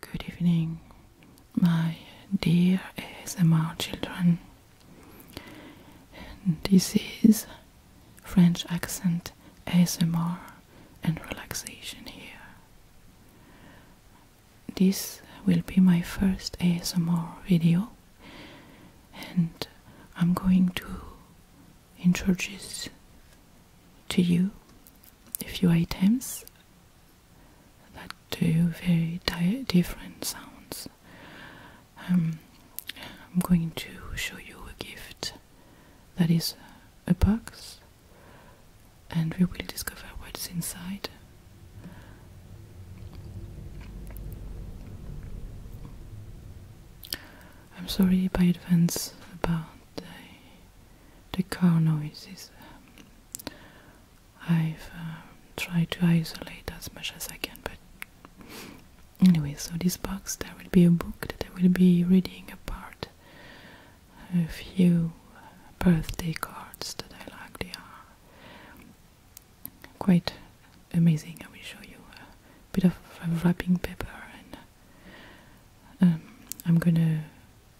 Good evening, my dear ASMR children. This is French accent ASMR and relaxation here. This will be my first ASMR video, and I'm going to introduce to you a few items that do very different sounds. Um, I'm going to show you a gift that is a box, and we will discover what's inside. I'm sorry by advance about the the car noises. Um, I've uh, tried to isolate as much as I can, but anyway, so this box there will be a book that I will be reading apart. A few birthday cards that I like, they are quite amazing. I will show you a bit of wrapping paper and um, I'm gonna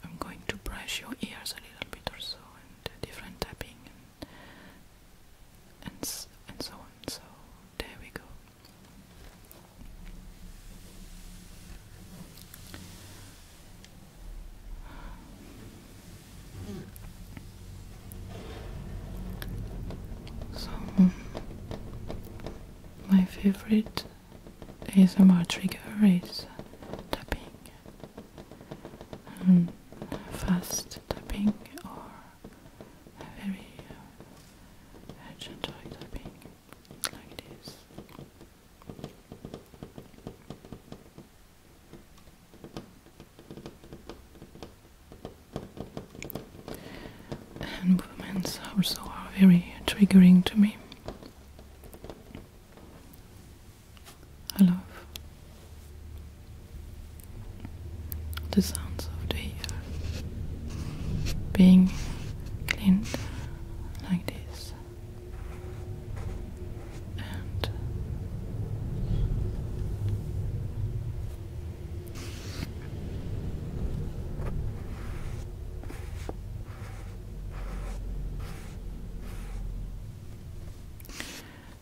I'm going to brush your ears a little bit or so and different tapping and and, s and so on. So there we go. So, my favorite ASMR trigger is tapping hmm, fast tapping or very uh, gentle tapping like this. movements also are very triggering to me. I love the sounds of the hair being cleaned like this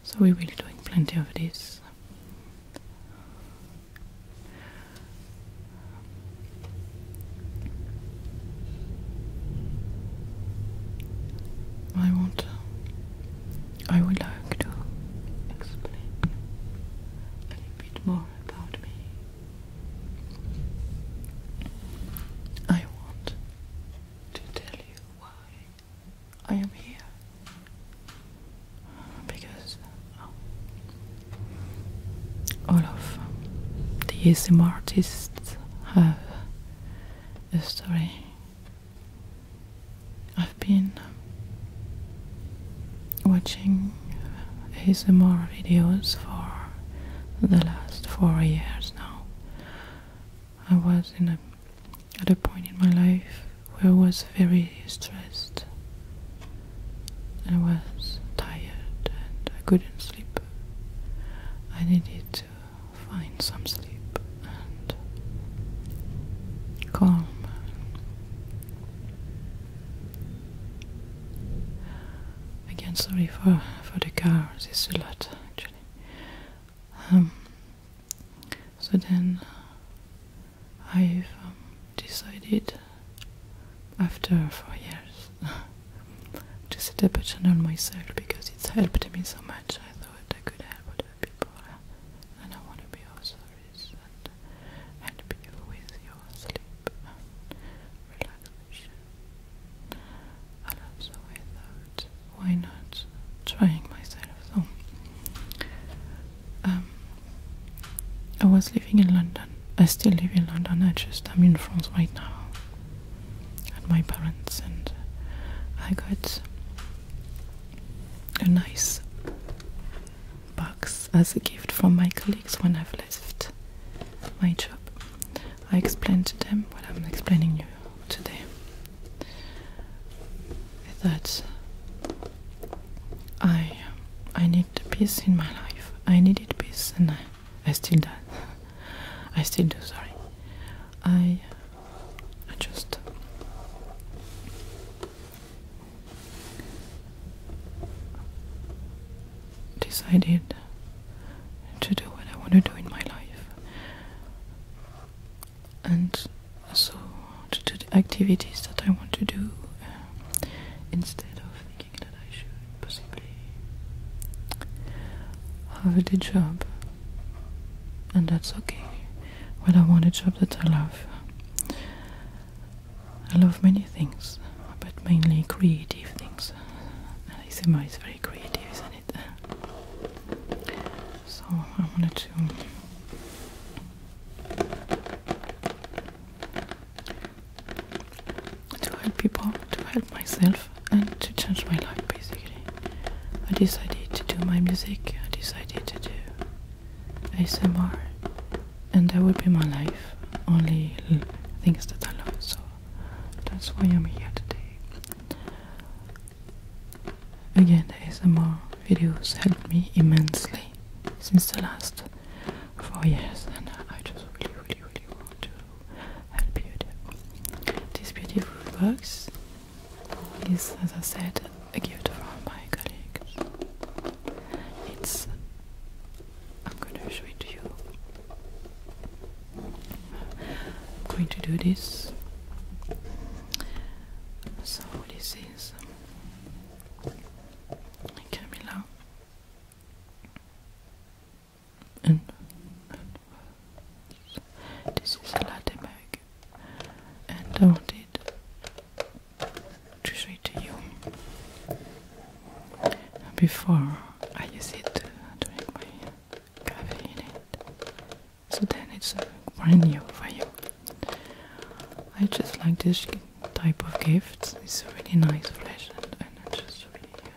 so we will be doing plenty of this. I want I would like to explain a little bit more about me I want to tell you why I am here. Because oh, all of the ASM artists have a story. I've been watching ASMR videos for the last four years now. I was in a, at a point in my life where I was very stressed. I was tired and I couldn't sleep. I needed to find some sleep and calm. Again, sorry for for the car. This is a lot actually. Um, so then uh, I've um, decided after four years to set up a channel myself because it's helped me so much. I thought I could help other people, uh, and I want to be also service and help you with your sleep, and relax and also I thought, why not trying myself? So um, I was living in London. I still live in London. I just am in France right now at my parents, and I got a nice box as a gift from my colleagues when I've left my job. I explained to them what I'm explaining you today that I I need peace in my life. I needed peace and I, I still do. I still do, sorry. I I just decided to do what I want to do in my life. And so to do the activities that I want to do um, instead of thinking that I should possibly have a job. And that's okay. Well, I want a job that I love. I love many things, but mainly creative things because ASMR is very creative, isn't it? So I wanted to to help people, to help myself, and to change my life basically. I decided to do my music, I decided to do ASMR, and that would be my life. Only things that I love. So that's why I'm here today. Again, the ASMR videos helped me immensely since the last four years, and I just really, really, really want to help you. This beautiful box is, as I said, a gift from my colleague. It's I'm gonna show it to you. I'm going to do this. So this is um, Camilla and, this is a latte mug and I wanted to show it to you before I use it during my so then it's brand new for you. I just like this type of gifts. It's really nice flash and just really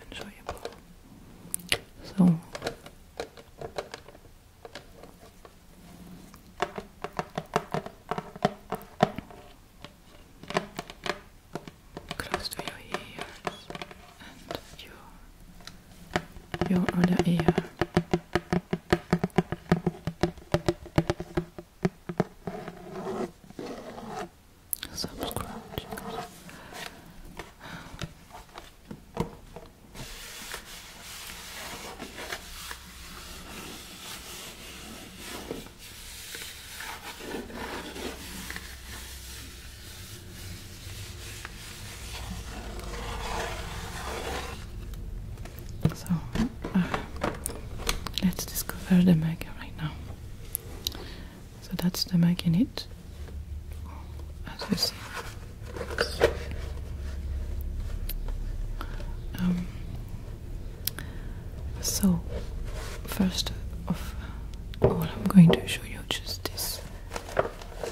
enjoyable. So close to your ears and your your other ear. Some so uh, let's discover the mag right now. So that's the mag in it, as you see. Um, so first of all, I'm going to show you just this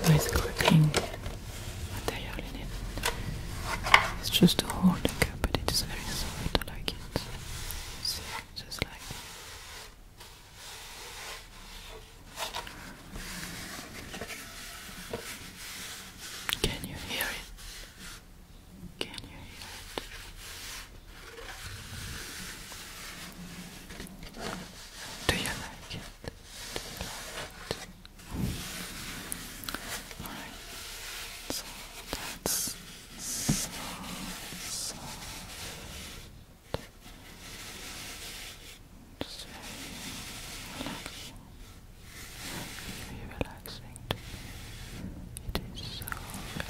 with clicking material in it. It's just a holding cup, but it's very soft. I like it. just like Can you hear it? Can you hear it? Do you like it? Do so that's so soft. Just very relaxing. Very relaxing to It is so perfect.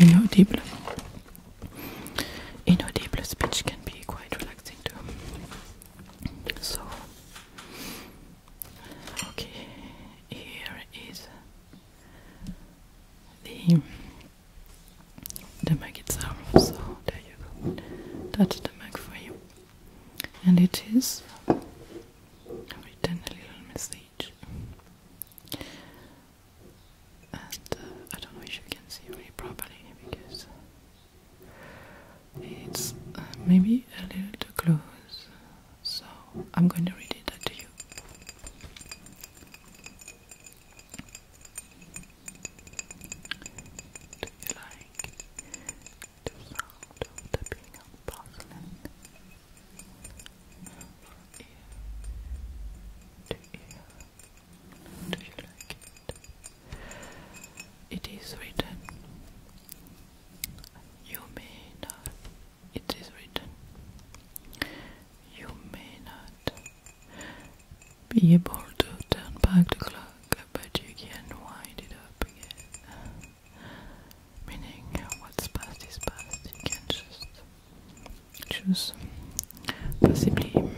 Inaudible. Inaudible speech can be quite relaxing too. So, okay, here is the the mag So there you go. That's the mag for you and it is written a little message. Uh, I don't know if you can see really properly because it's uh, maybe a little too close, so I'm going to read it to you. Do you like do you like it? It is written. You may not. It is written. You may not be able to turn back the clock but you can wind it up again. Meaning, what's past is past, you can just choose, possibly,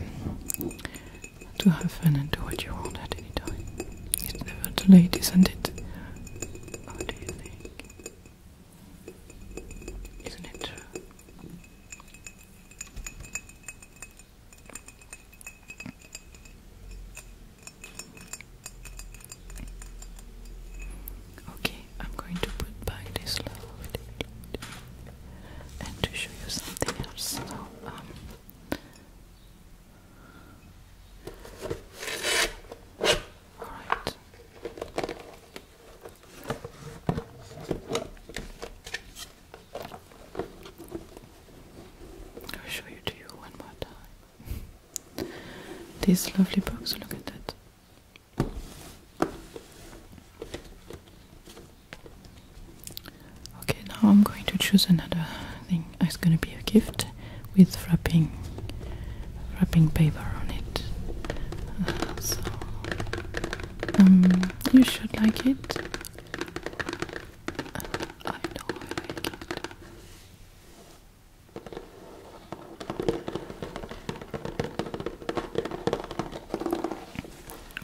to have fun and do what you want at any time. It's never too late, isn't it? What do you think? Isn't it true? Okay, I'm going to put back this load and to show you something else. So, um, Alright. I'll show you to you one more time. These lovely books, look at that. Okay, now I'm going to choose another thing. It's going to be a gift with wrapping wrapping paper on it. Uh, so um, you should like it. Uh,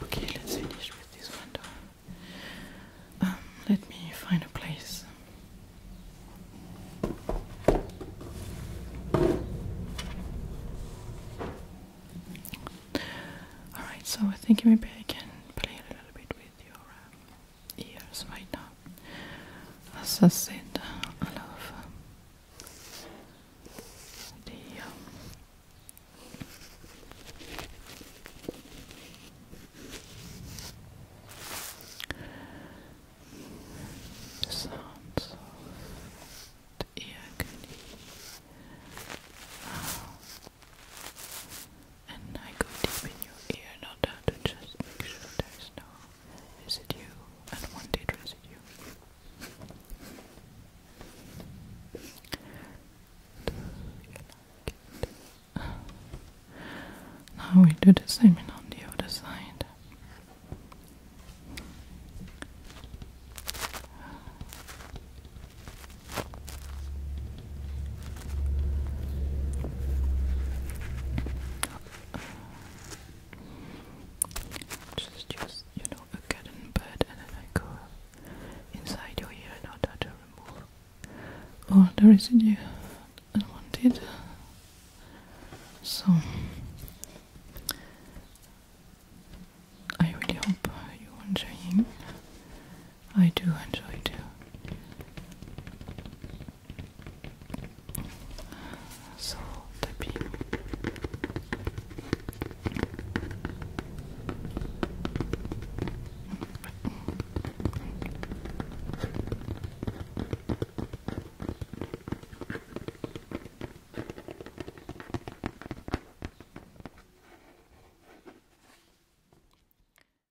Okay, let's finish with this window. Um, let me find a place. Alright, so I think maybe I can play a little bit with your um, years right now. As I said, uh, a um, the um, sounds of the air can uh, and I go deep in your ear, not out to make sure there's no residue, and one did residue. Do you like it? Now we do the same on the other side. Just, just, you know, a cat and bed, and then I go inside your ear in order to remove all oh, the residue unwanted. So, I really hope you're enjoying I do enjoy too. So tapping.